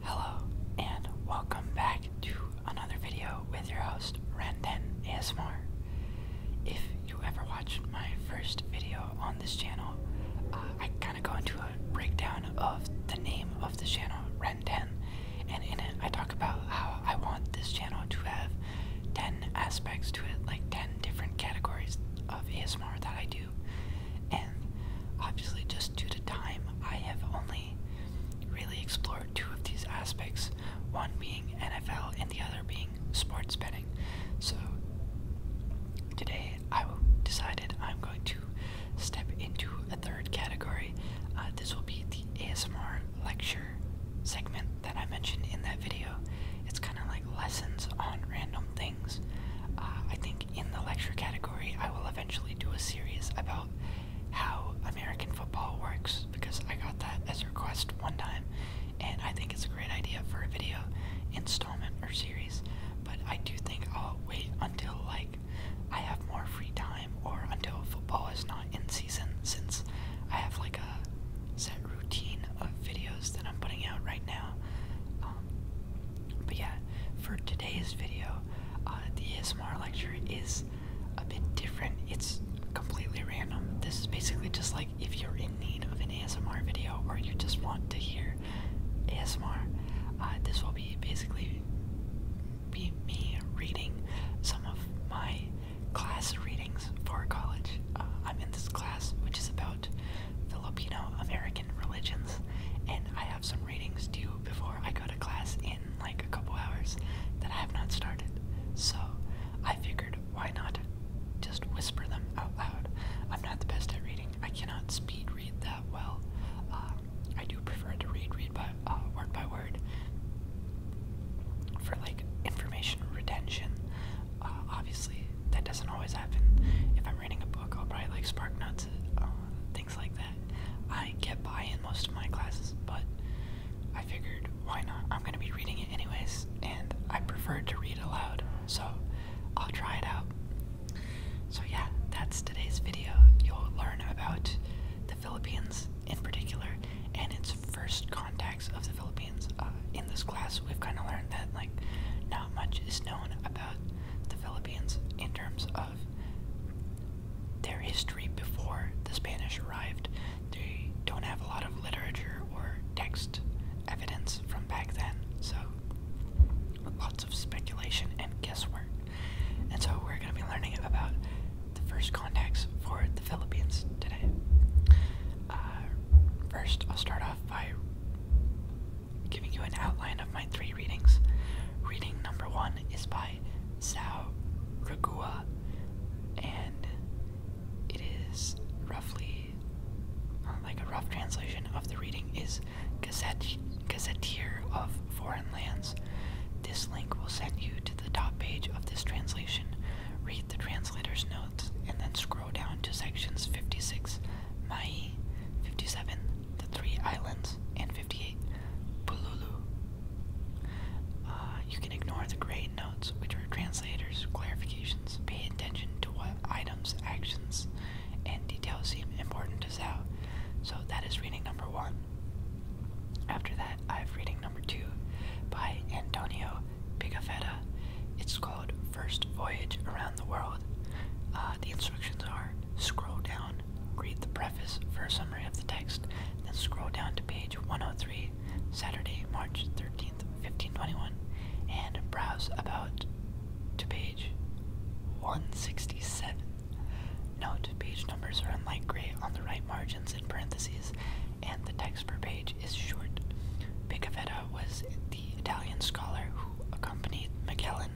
Hello, and welcome back to another video with your host, Randen ASMR. If you ever watched my first video on this channel, uh, I kind of go into a breakdown of the name of the channel, Renden, and in it I talk about how I want this channel to have 10 aspects to it, like 10 different categories of ASMR that I do. And obviously, just due to time, I have only really explored two of these aspects one being NFL and the other being sports betting. So, today I decided I'm going to step into a third category. Uh, this will be the ASMR lecture segment that I mentioned in that video. It's kind of like lessons on random things. Uh, I think in the lecture category, I will eventually do a series about how American football works because I got that as a request one time, and I think it's a great idea for a video installment or series. But I do think I'll wait until like I have more free time or until football is not in season since I have like a set routine of videos that I'm putting out right now. Um, but yeah, for today's video, uh, the ASMR lecture is a bit different. It's completely random. This is basically just like if you're in need of an ASMR video or you just want to hear ASMR, uh, this will be basically be me reading some of my class readings for college. Uh, I'm in this class which is about Filipino American religions, and I have some readings due before I go to class in like a couple hours that I have not started. So I figured why not just whisper them out loud. I'm not the best at reading. I cannot speed read that well. Um, I do prefer to read read by uh, word by word for like information retention. Uh, obviously, that doesn't always happen. If I'm reading a book, I'll probably like spark notes. Uh, things like that. I get by in most of my classes, but I figured why not? I'm going to be reading it anyways, and I prefer to read aloud, so I'll try it out. So, yeah, that's today's video. You'll learn about the Philippines in particular and its first contacts of the Philippines. Uh, in this class, we've kind of learned that, like, not much is known about the Philippines in terms of their history before the Spanish arrived. They don't have a lot of literature or text evidence from back then, so lots of speculation and guesswork. And so we're going to be learning about the first contacts for the Philippines today. Uh, first, I'll start off by giving you an outline of my three readings. Reading number one is by Sao Ragua, and it is roughly uh, like a rough translation of the reading is Gazette, Gazetteer of Foreign Lands. This link will send you to the top page of this translation. Read the translator's notes and then scroll down to sections 56, Mai, 57, the Three Islands, and 58, Pululu. Uh, you can ignore the gray notes, which are translators' clarifications. Pay attention to what items, actions, and details seem important to Zao. So that is reading number one. After that, I have reading number two by Antonio Pigafetta. It's called First Voyage Around the World. Uh, uh, the instructions are scroll down, read the preface for a summary of the text, then scroll down to page 103, Saturday, March 13th, 1521, and browse about to page 167. Note, page numbers are in light gray on the right margins in parentheses, and the text per page is short. Picavetta was the Italian scholar who accompanied Magellan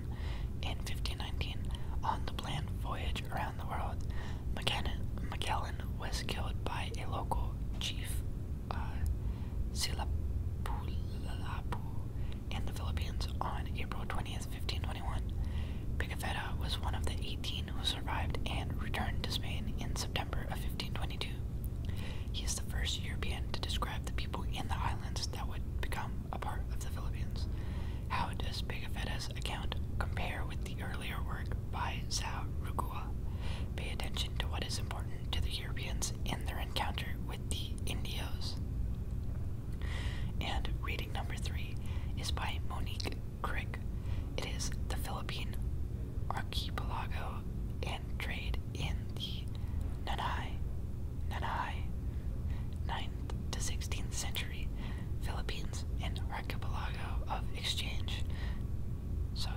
in 1519. On the planned voyage around the world, Magellan was killed by a local chief, uh, Silapulapu, in the Philippines on April 20th, 1521. Pigafetta was one of the 18 who survived and returned to Spain in September of 1522. He is the first European to describe the people in the islands that would become a part of the Philippines. How does Pigafetta's account compare with the earlier work by Zhao Rugua? Pay attention to what is important to the Europeans in their encounter with the Indios. And reading number three is by Monique Crick. It is The Philippine Archipelago and Trade in Nanai, Nanai, 9th to 16th century Philippines, and archipelago of exchange. So,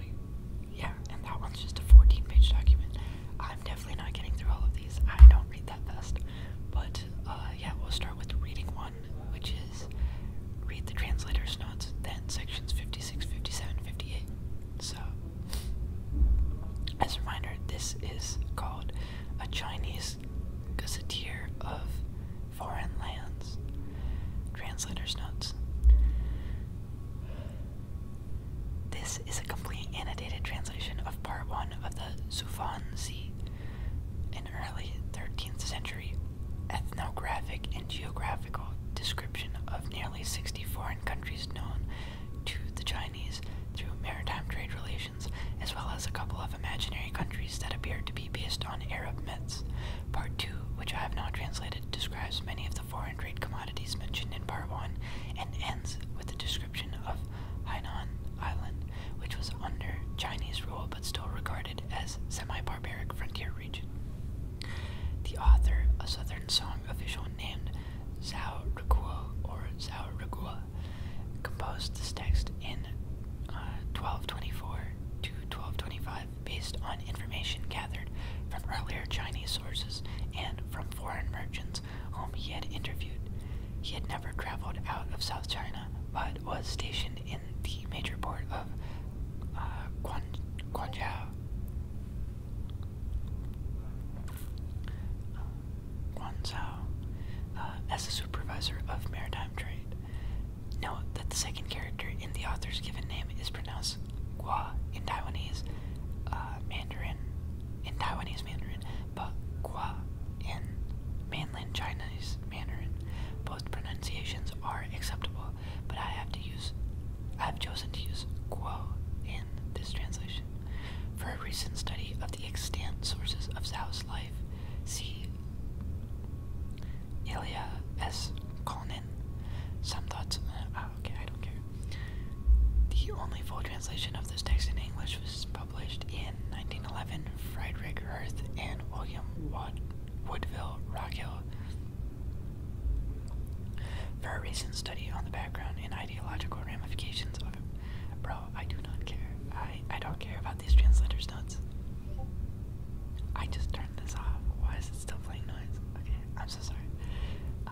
yeah, and that one's just a 14 page document. I'm definitely not getting through all of these, I don't read that fast. But, uh, yeah, we'll start with reading one, which is read the translator's notes, then sections 56, 57, 58. So, as a reminder, this is called a Chinese gazetteer of foreign lands. Translator's notes. This is a complete annotated translation of part one of the Zufanzi, an early 13th century ethnographic and geographical description of nearly 60 foreign countries known to the Chinese through maritime trade relations, as well as a couple of imaginary countries that appear to be based on Arab myths. Part 2, which I have now translated, describes many of the foreign trade commodities mentioned in Part 1 and ends with a description of Hainan Island, which was under Chinese rule but still regarded as semi-barbaric frontier region. The author, a Southern Song official named Zhao Ruguo or Zhao Ruguo, composed this text in 1224 uh, to 1225 based on information gathered from earlier Chinese sources and from foreign merchants whom he had interviewed. He had never traveled out of South China, but was stationed in the major port of uh, Guangzhou. Guanzhou uh, as a supervisor of maritime trade. Note that the second character in the author's given name is pronounced Gua in Taiwanese uh, Mandarin, in Taiwanese Mandarin, but Gua in mainland Chinese Mandarin. Both pronunciations are acceptable, but I have to use, I have chosen to use Guo in this translation. For a recent study of the extant sources of Zhao's life, see Ilya S. Konen. Some thoughts. Uh, ah, okay, I don't care. The only full translation of this text in English was published in 1911. Friedrich Hirth and William Watt Woodville Rockhill. For a recent study on the background and ideological ramifications Bro, I do not care. I I don't care about these translators' notes. I just turned this off. Why is it still playing noise? Okay, I'm so sorry. Uh,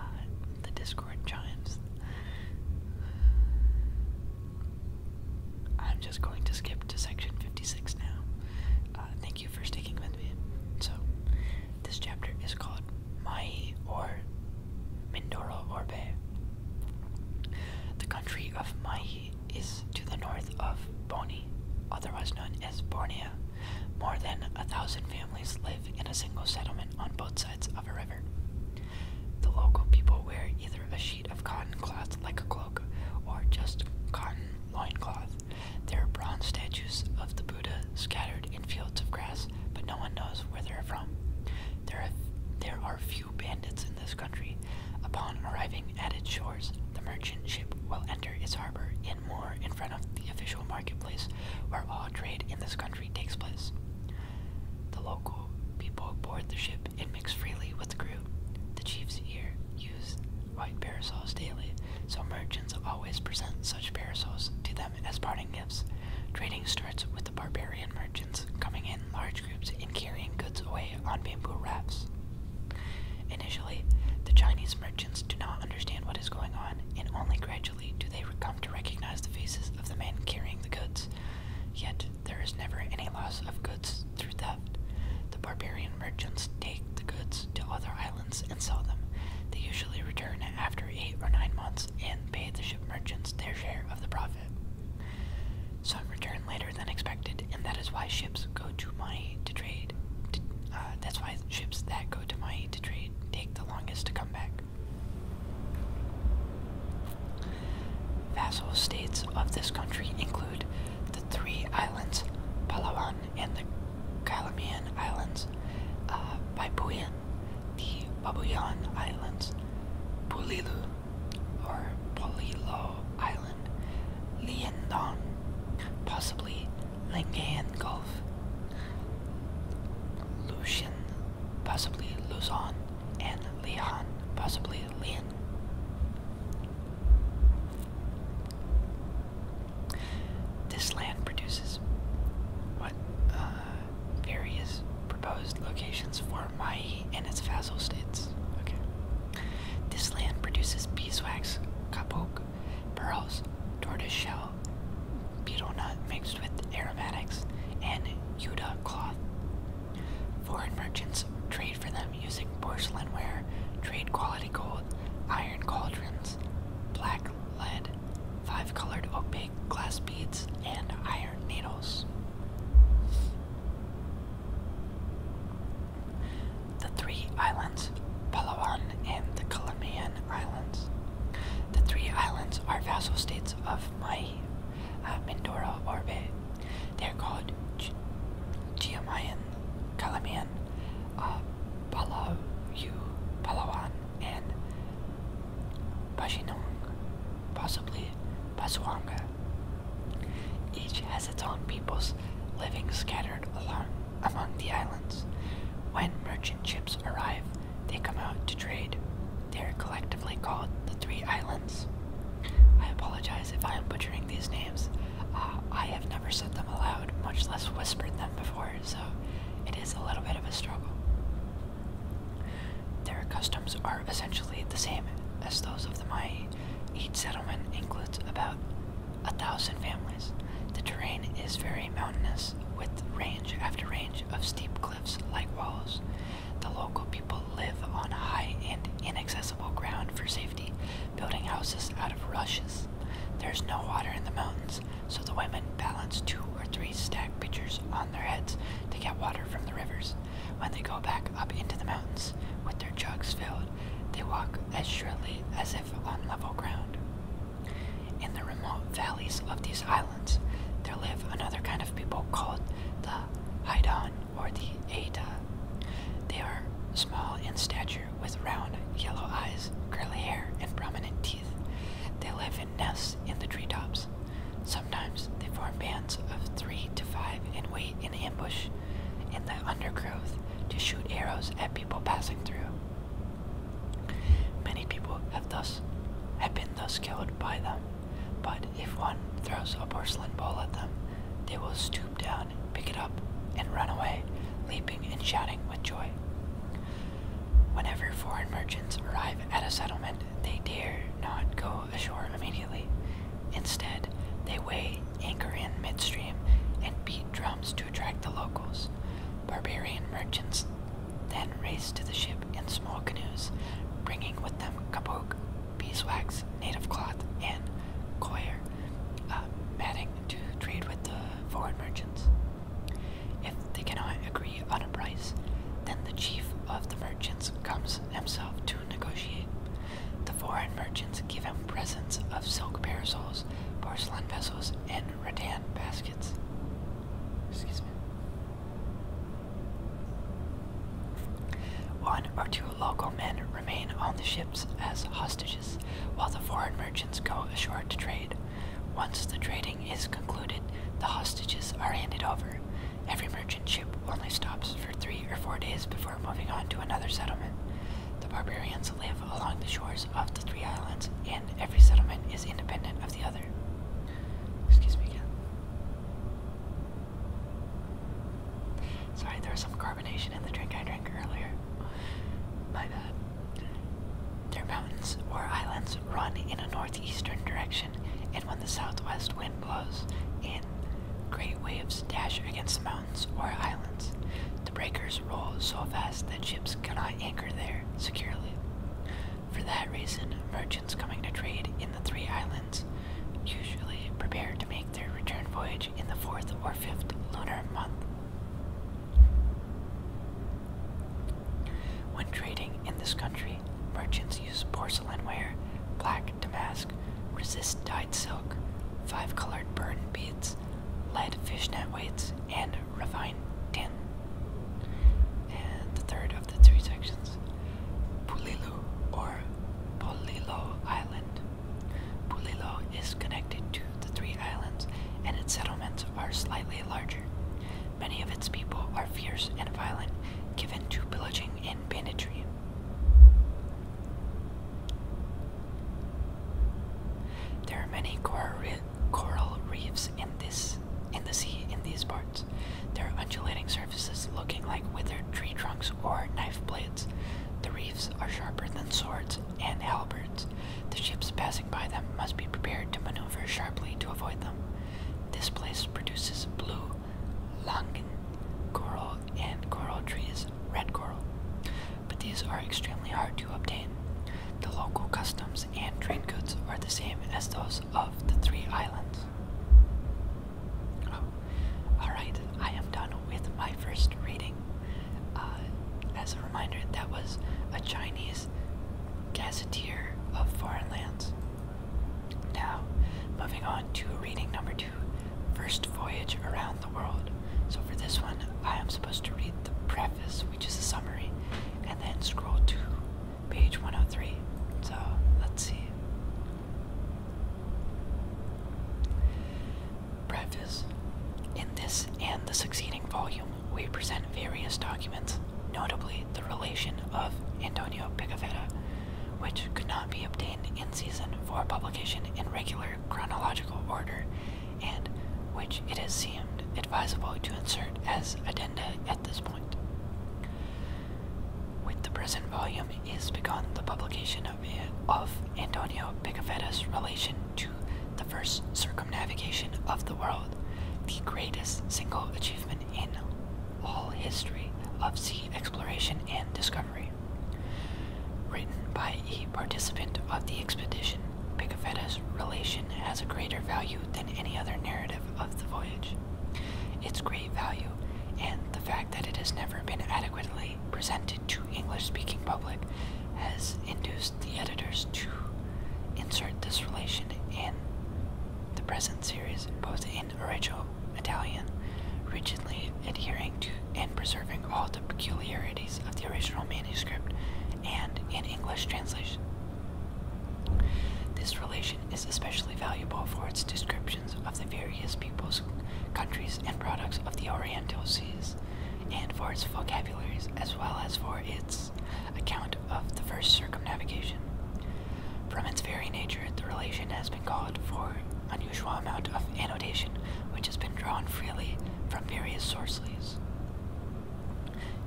the Discord chimes. I'm just going to skip to section 56 now. Uh, thank you for sticking with me. So, this chapter is called My or Mindoro Orbe. The country of Mahe is to the north of Boni, otherwise known as Borneo. More than a thousand families live in a single settlement on both sides of a river. The local people wear either a sheet of cotton cloth like a cloak or just cotton loincloth. There are bronze statues of the Buddha scattered in fields of grass, but no one knows where they're from. There are, there are few bandits in this country. Upon arriving at its shores, the merchant ship will enter its harbor in Moore in front of the official marketplace where all trade in this country takes place. The local people board the ship and mix freely with the crew. The chiefs here use white parasols daily, so merchants always present such parasols to them as parting gifts. Trading starts with the barbarian merchants coming in large groups and carrying goods away on bamboo rafts. Initially, the Chinese merchants do not understand what is going on, and only gradually do they come to recognize the faces of the men carrying the goods. Yet, there is never any loss of goods through theft. The barbarian merchants take the goods to other islands and sell them. They usually return after eight or nine months and pay the merchants their share of the profit. Some return later than expected, and that is why ships go to Maui to trade. Uh, that's why ships that go to Maui to trade take the longest to come back. Vassal states of this country include the three islands, Palawan and the Calamian Islands, uh, Papuan the Babuyan Islands, Pulilu or Polilo Island, Liandon, possibly Lingayen Gulf, Lucian, possibly Luzon, and Leon, possibly Leon. This land produces what? Uh, various proposed locations for Maui and its vassal states. Okay. This land produces beeswax, kapok, pearls, tortoiseshell, shell, betel nut mixed with aromatics, and yuta cloth. Foreign merchants trade for them using porcelain ware, trade quality gold, iron cauldrons, black lead, five colored opaque glass beads, and iron needles. The three islands, Palawan and the Calamian Islands. The three islands are vassal states of Mai, uh, Mindoro, They are called G Giamayan, Calamian, uh, Palayu, Palawan, and Pashinong, possibly Pasuanga. Each has its own peoples living scattered along among the islands. When merchant ships arrive, they come out to trade. They are collectively called the Three Islands. I apologize if I am butchering these names. Uh, I have never said them aloud, much less whispered them before, so it is a little bit of a struggle. Their customs are essentially the same as those of the Mai. Each settlement includes about a thousand families. The terrain is very mountainous, with range after range of steep cliffs like walls. The local people live on high and inaccessible ground for safety, building houses out of rushes. There's no water in the mountains, so the women balance two or three stacked pitchers on their heads to get water from the rivers. When they go back up into the mountains with their jugs filled, they walk as surely as if on level ground. In the remote valleys of these islands, there live another kind of people called the Haidan or the Ada. They are small in stature with round yellow eyes, curly hair, and prominent teeth. They live in nests in the treetops. Sometimes they form bands of three to five and wait in ambush in the undergrowth to shoot arrows at people passing through. Many people have thus have been thus killed by them, but if one throws a porcelain ball at them, they will stoop down, pick it up, and run away, leaping and shouting with joy. Whenever foreign merchants arrive at a settlement, they dare not go ashore immediately. Instead, they weigh anchor in midstream and beat drums to attract the locals. Barbarian merchants then race to the ship in small canoes, bringing with them kabok, beeswax, native cloth, and coir, uh, matting to trade with the foreign merchants. If they cannot agree on a price, then the chief of the merchants comes himself to negotiate. The foreign merchants give him presents of silk parasols, porcelain vessels, and rattan baskets. Excuse me. One or two local men remain on the ships as hostages, while the foreign merchants go ashore to trade. Once the trading is concluded, the hostages are handed over. Every merchant ship only stops for three or four days before moving on to another settlement. The barbarians live along the shores of the three islands, and every settlement is independent of the other. Excuse me Sorry, there was some carbonation in the drink I drank earlier. My bad. Their mountains or islands run in a northeastern direction and when the southwest wind blows and great waves dash against the mountains or islands. The breakers roll so fast that ships cannot anchor there securely. For that reason, merchants coming to trade in the three islands usually prepare to make their return voyage in the fourth or fifth lunar month. When trading in this country, merchants use porcelain ware, black damask, resist dyed silk, five colored burn beads, lead fishnet weights, and refined tin. And the third of the three sections Pulilu or Polilo Island. Pulilo is connected to the three islands, and its settlements are slightly larger. Many of its people are fierce and violent, given to pillaging and banditry. There are many coral, reefs in this in the sea in these parts. There are undulating surfaces looking like withered tree trunks or knife blades. The reefs are sharper than swords and halberds. The ships passing by them must be prepared to maneuver sharply to avoid them. This place produces blue langan coral and coral trees, red coral, but these are extremely hard to obtain. The local customs and trade goods are the same as those of the three islands. Oh, Alright, I am done with my first reading. Uh, as a reminder, that was a Chinese gazetteer of foreign lands. Now, moving on to reading number two First Voyage Around the World. So, for this one, I am supposed to read the preface, which is a summary, and then scroll to page 103. So, let's see. Preface In this and the succeeding volume, we present various documents, notably the relation of Antonio Picafetta, which could not be obtained in season for publication in regular chronological order, and which it has seemed advisable to insert as addenda at this point. With the present volume is begun the publication of, of Antonio Picafetta's relation to the first circumnavigation of the world, the greatest single achievement in all history of sea exploration and discovery. Written by a participant of the expedition, Pigafetta's relation has a greater value than any other narrative of the voyage. Its great value, and the fact that it has never been adequately presented to English speaking public, has induced the editors to insert this relation in. The present series, both in original Italian, rigidly adhering to and preserving all the peculiarities of the original manuscript, and in English translation. This relation is especially valuable for its descriptions of the various peoples, countries, and products of the Oriental Seas, and for its vocabularies as well as for its account of the first circumnavigation. From its very nature, the relation has been called for unusual amount of annotation, which has been drawn freely from various sources,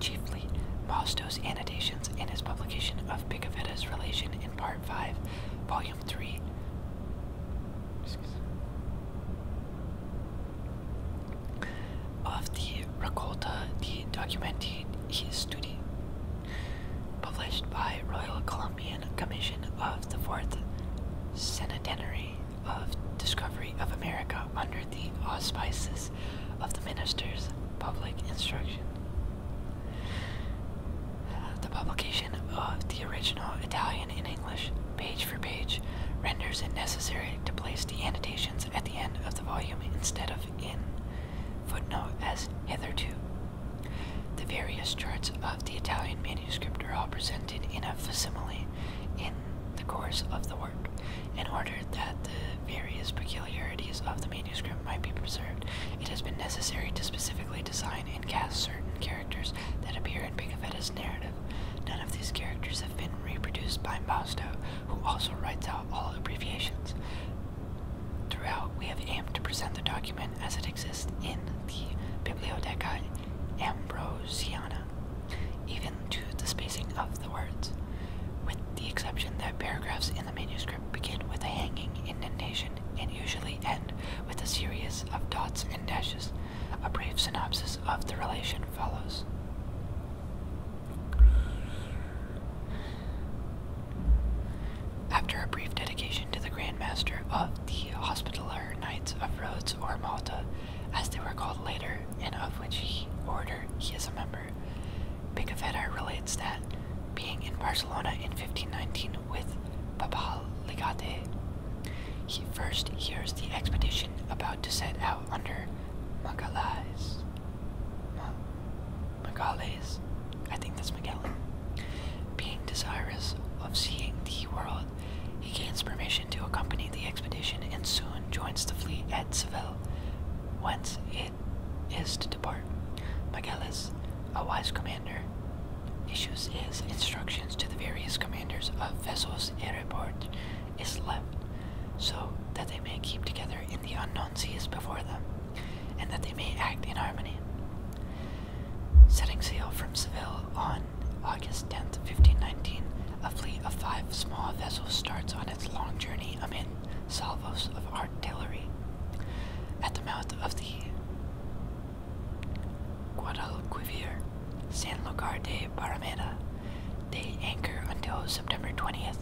chiefly Bostos' annotations and his publication of Picaveta's relation in Part 5, Volume 3. Of the Raccolta di Documenti his study, published by Royal Columbian Commission of the Fourth Centenary of Discovery of America under the auspices of the Minister's Public Instruction. The publication of the original Italian in English, page for page, renders it necessary to place the annotations at the end of the volume instead of in footnote as hitherto. The various charts of the Italian manuscript are all presented in a facsimile in the course of the work, in order that the various peculiarities of the manuscript might be preserved. It has been necessary to specifically design and cast certain characters that appear in Pigafetta's narrative. None of these characters have been reproduced by Mosto, who also writes out all abbreviations. Throughout, we have aimed to present the document as it exists in the Bibliotheca Ambrosiana, even to the spacing of the words, with the exception that paragraphs in the manuscript begin with a hanging indentation and usually end with a series of dots and dashes. A brief synopsis of the relation follows. After a brief dedication to the Grand Master of the Hospitaller Knights of Rhodes or Malta, as they were called later, and of which order he is a member, Picavetta relates that, being in Barcelona in 1519 with Papal Legate, he first hears the expedition about to set out under Macalays. Macalays. I think that's Magellan. Being desirous of seeing the world, he gains permission to accompany the expedition and soon joins the fleet at Seville, whence it is to depart. Magellus, a wise commander, issues his instructions to the various commanders of vessels and report is left, so that they may keep together in the unknown seas before them, and that they may act in harmony. Setting sail from Seville on August 10, 1519, a fleet of five small vessels starts on its long journey amid salvos of artillery. At the mouth of the Guadalquivir, San Lucar de Barrameda, they anchor until September 20th,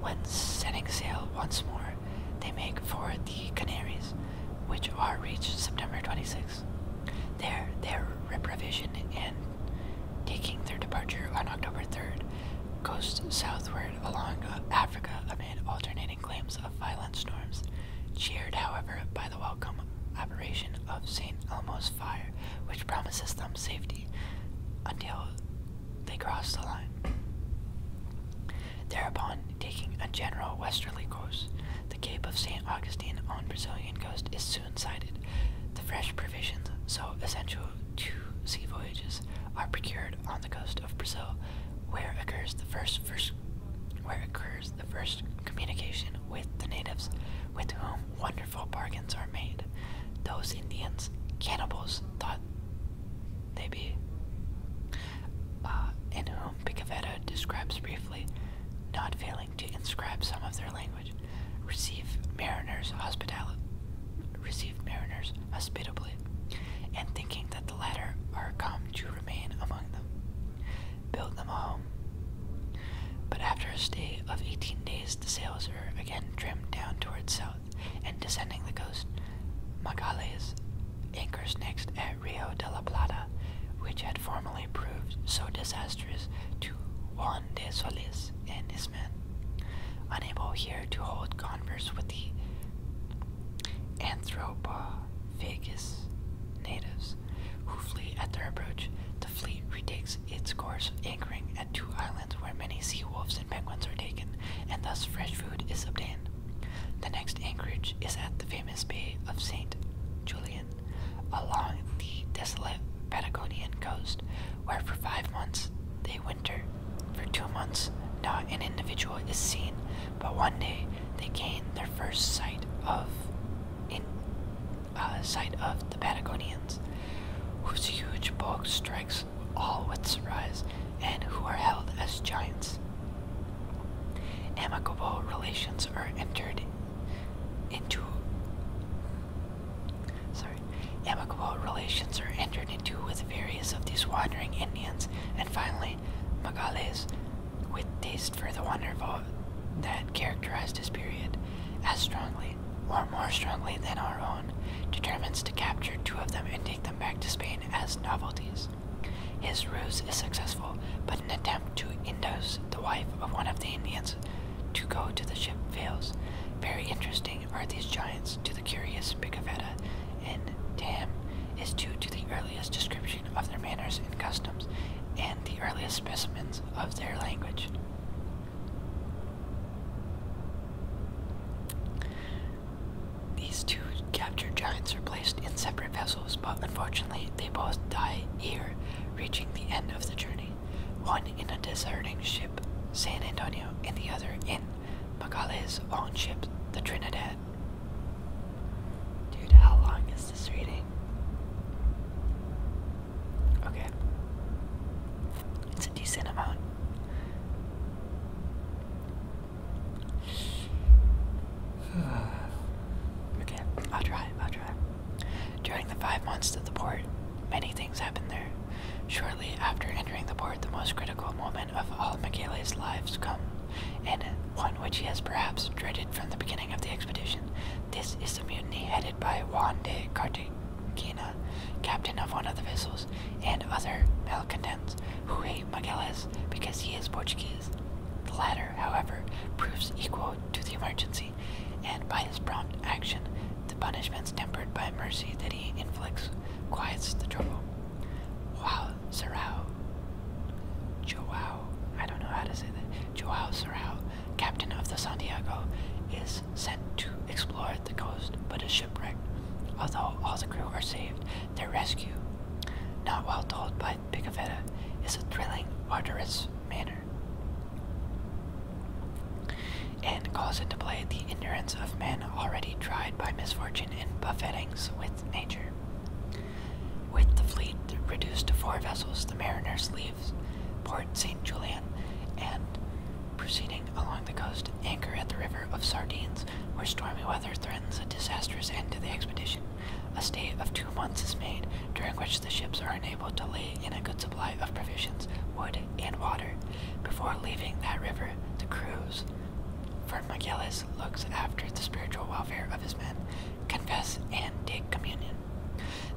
when setting sail once more, they make for the Canaries, which are reached September 26. There, they are reprovisioned and taking their departure on October 3rd, coast southward along Africa amid alternating claims of violent storms, cheered, however, by the welcome apparition of St. Elmo's fire, which promises them safety until they crossed the line. Thereupon, taking a general westerly course, the Cape of St. Augustine on Brazilian coast is soon sighted. The fresh provisions, so essential to sea voyages, are procured on the coast of Brazil, where occurs the first, first where occurs the first communication with the natives, with whom wonderful bargains are made. Those Indians, cannibals, thought God they be. Uh, in whom Picavetta describes briefly, not failing to inscribe some of their language, receive mariners hospitably, and thinking that the latter are come to remain among them, build them a home. But after a stay of eighteen days, the sails are again trimmed down towards south and descending the coast, Magallanes anchors next at Rio de la Plata, which had formerly proved so disastrous to Juan de Solis and his men. Unable here to hold converse with the Anthropo Anthropophagus natives who flee at their approach, the fleet retakes its course, anchoring at two islands where many sea wolves and penguins are taken, and thus fresh food is obtained. The next anchorage is at the famous Bay of St. Julian, along the desolate Patagonian coast, where for five months they winter. For two months, not an individual is seen, but one day they gain their first sight of uh, sight of the Patagonians, whose huge bulk strikes all with surprise, and who are held as giants. Amicable relations are entered into. Sorry, amicable relations are entered into with various of these wandering Indians, and finally, Magales, with taste for the wonderful that characterized his period, as strongly or more strongly than our own, determines to capture two of them and take them back to Spain as novelties. His ruse is successful, but an attempt to induce the wife of one of the Indians to go to the ship fails. Very interesting are these giants to the curious Picavetta, and to is due to the earliest description of their manners and customs, and the earliest specimens of their language. These two captured giants are placed in separate vessels, but unfortunately, they both die here, reaching the end of the journey. One in a deserting ship, San Antonio, and the other in Macaulay's own ship, the Trinidad. Dude, how long is this reading? Okay. It's a decent amount. okay, I'll try, I'll try. During the five months at the port, many things happened there. Shortly after entering the port, the most critical moment of all Michele's lives come, and one which he has perhaps dreaded from the beginning of the expedition. This is the mutiny headed by Juan de Carte Kina, captain of one of the vessels, and other malcontents who hate Magalhães because he is Portuguese. The latter, however, proves equal to the emergency, and by his prompt action, the punishment's tempered by mercy that he inflicts quiets the trouble. Wow, Sarau. Joao, I don't know how to say that. Joao Sirao, captain of the Santiago, is sent to explore the coast but is shipwrecked. Although all the crew are saved, their rescue, not well told by Picavetta, is a thrilling, arduous manner and calls into play the endurance of men already tried by misfortune and buffetings with nature. With the fleet reduced to four vessels, the mariners leave Port St. Julian and Proceeding along the coast, anchor at the river of Sardines, where stormy weather threatens a disastrous end to the expedition. A stay of two months is made, during which the ships are enabled to lay in a good supply of provisions, wood, and water. Before leaving that river, the crews for Magellan looks after the spiritual welfare of his men, confess, and take communion.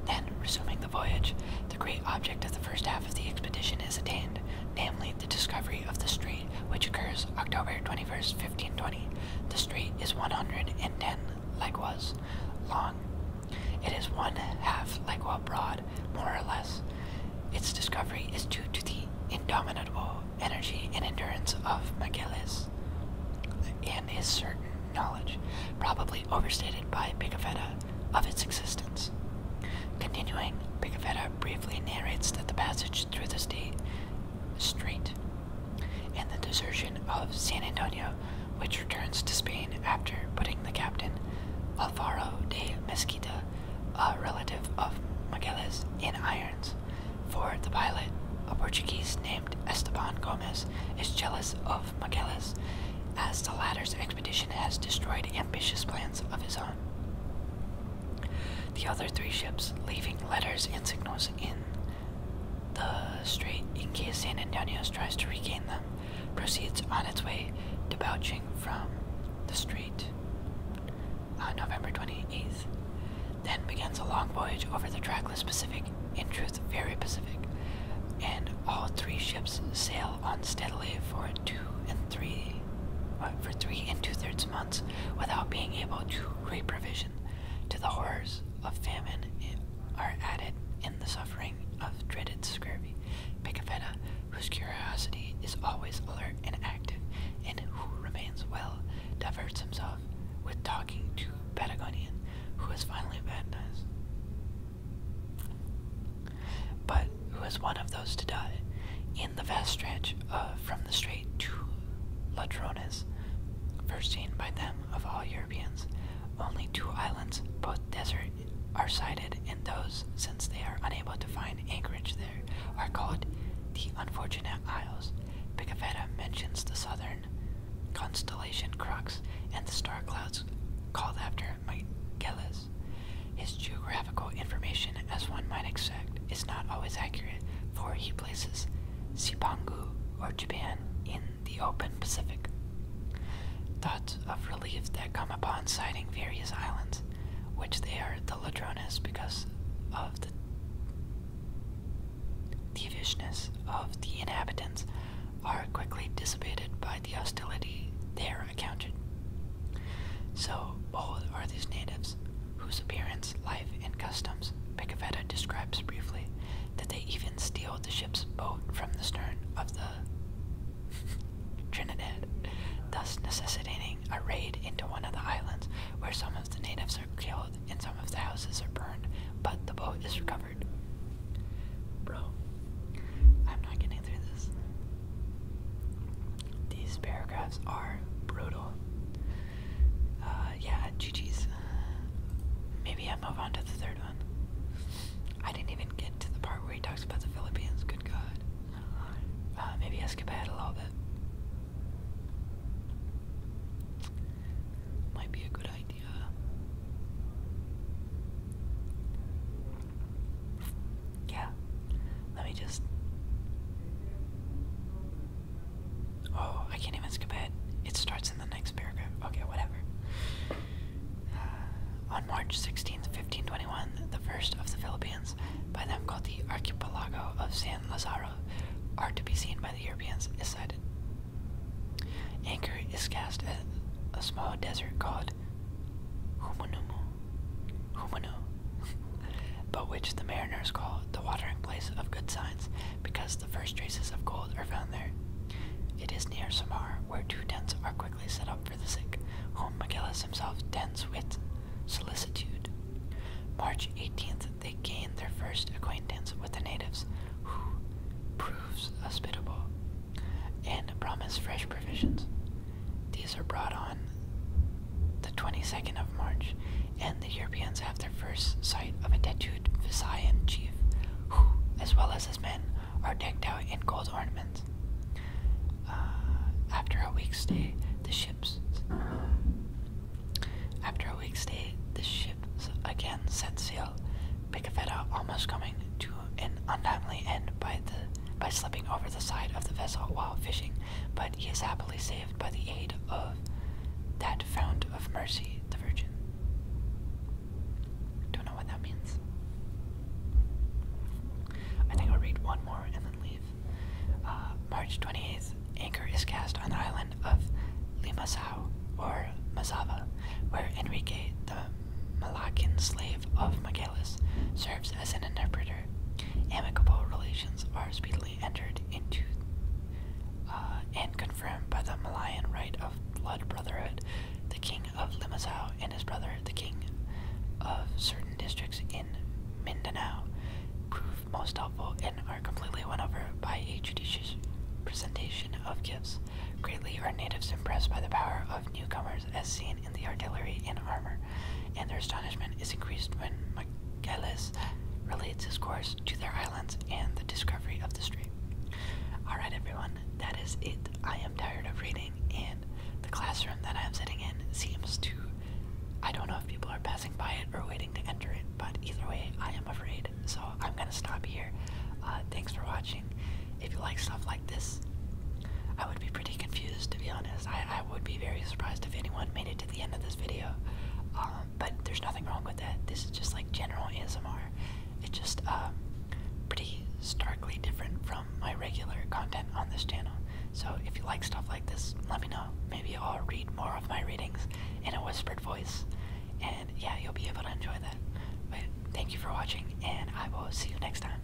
Then, resuming the voyage, the great object of the first half of the expedition is attained, namely the discovery of the street, which occurs October 21st, 1520. The street is 110 legwas long. It is one half legua broad, more or less. Its discovery is due to the indomitable energy and endurance of Magellus and his certain knowledge, probably overstated by Pigafetta, of its existence. Continuing, Picavetta briefly narrates that the passage through the state street and the desertion of San Antonio, which returns to Spain after putting the captain Alvaro de Mesquita, a relative of Magellan's, in irons. For the pilot, a Portuguese named Esteban Gomez is jealous of Magellan's, as the latter's expedition has destroyed ambitious plans of his own. The other three ships leaving letters and signals in the strait in case San Antonio tries to regain them, proceeds on its way, debouching from the strait on November 28th. Then begins a long voyage over the trackless Pacific, in truth, very Pacific, and all three ships sail fell for two and three uh, for three and two-thirds months without being able to re-provision to the horrors of famine eh, are added in the suffering of dreaded scurvy. Picafetta, whose curiosity is always alert and active, and who remains well, diverts himself with talking to Patagonian, who is finally baptized but who is one of those to die in the vast stretch uh, from the strait to Ladrones, first seen by them of all Europeans. Only two islands, both desert, are sighted, and those, since they are unable to find anchorage there, are called the Unfortunate Isles. Picavetta mentions the southern constellation Crux and the star clouds called after Michaelis. His geographical information, as one might expect, is not always accurate, for he places Sipangu, or Japan, in the open Pacific. Thoughts of relief that come upon sighting various islands, which they are the Ladrones because of the thievishness of the inhabitants, are quickly dissipated by the hostility there encountered. So, bold are these natives, whose appearance, life, and customs Picavetta describes briefly, that they even steal the ship's boat from the stern of the Trinidad, thus necessitating a raid into one of the islands where some of the natives are killed and some of the houses are burned, but the boat is recovered. Bro, I'm not getting through this. These paragraphs are brutal. Uh, yeah, GG's. Maybe I move on to the third one. I didn't even get to the part where he talks about the Philippines. Good God. Uh, maybe I a little bit. Might be a good idea. Yeah. Let me just. Oh, I can't even skip ahead. It starts in the next paragraph. Okay, whatever. Uh, on March 16, 1521, the first of the Philippines, by them called the archipelago of San Lazaro, are to be seen by the Europeans, is sighted. Anchor is cast at a small desert called Humunumu. Humunu. but which the mariners call the watering place of good signs, because the first traces of gold are found there. It is near Samar, where two tents are quickly set up for the sick, whom Megillus himself tents with solicitude. March 18th, they gained their first acquaintance with the natives, who proves hospitable and promise fresh provisions. These are brought on the 22nd of March, and the Europeans have their first sight of a tattooed Visayan chief, who, as well as his men, are decked out in gold ornaments. Uh, after a week's stay, the ships. After a week's stay, the ships again set sail, Picafetta almost coming to an untimely end by the by slipping over the side of the vessel while fishing, but he is happily saved by the aid of that fount of mercy, the Virgin. Don't know what that means. I think I'll read one more and then leave. Uh, March 28th, anchor is cast on the island of Limassol or Mazava, where Enrique, the Malacan slave of Miguelis, serves as an interpreter amicable relations are speedily entered into uh, and confirmed by the Malayan Rite of Blood Brotherhood. The king of Limasau and his brother, the king of certain districts in Mindanao, prove most helpful and are completely won over by a judicious presentation of gifts. Greatly are natives impressed by the power of newcomers as seen in the artillery and armor, and their astonishment is increased when Michaelis relates his course to their islands and the discovery of the strait. Alright, everyone, that is it. I am tired of reading, and the classroom that I am sitting in seems to. I don't know if people are passing by it or waiting to enter it, but either way, I am afraid, so I'm gonna stop here. Uh, thanks for watching. If you like stuff like this. I would be pretty confused to be honest. I, I would be very surprised if anyone made it to the end of this video. Um, but there's nothing wrong with that. This is just like general ASMR. It's just um, pretty starkly different from my regular content on this channel. So if you like stuff like this, let me know. Maybe I'll read more of my readings in a whispered voice. And yeah, you'll be able to enjoy that. But thank you for watching, and I will see you next time.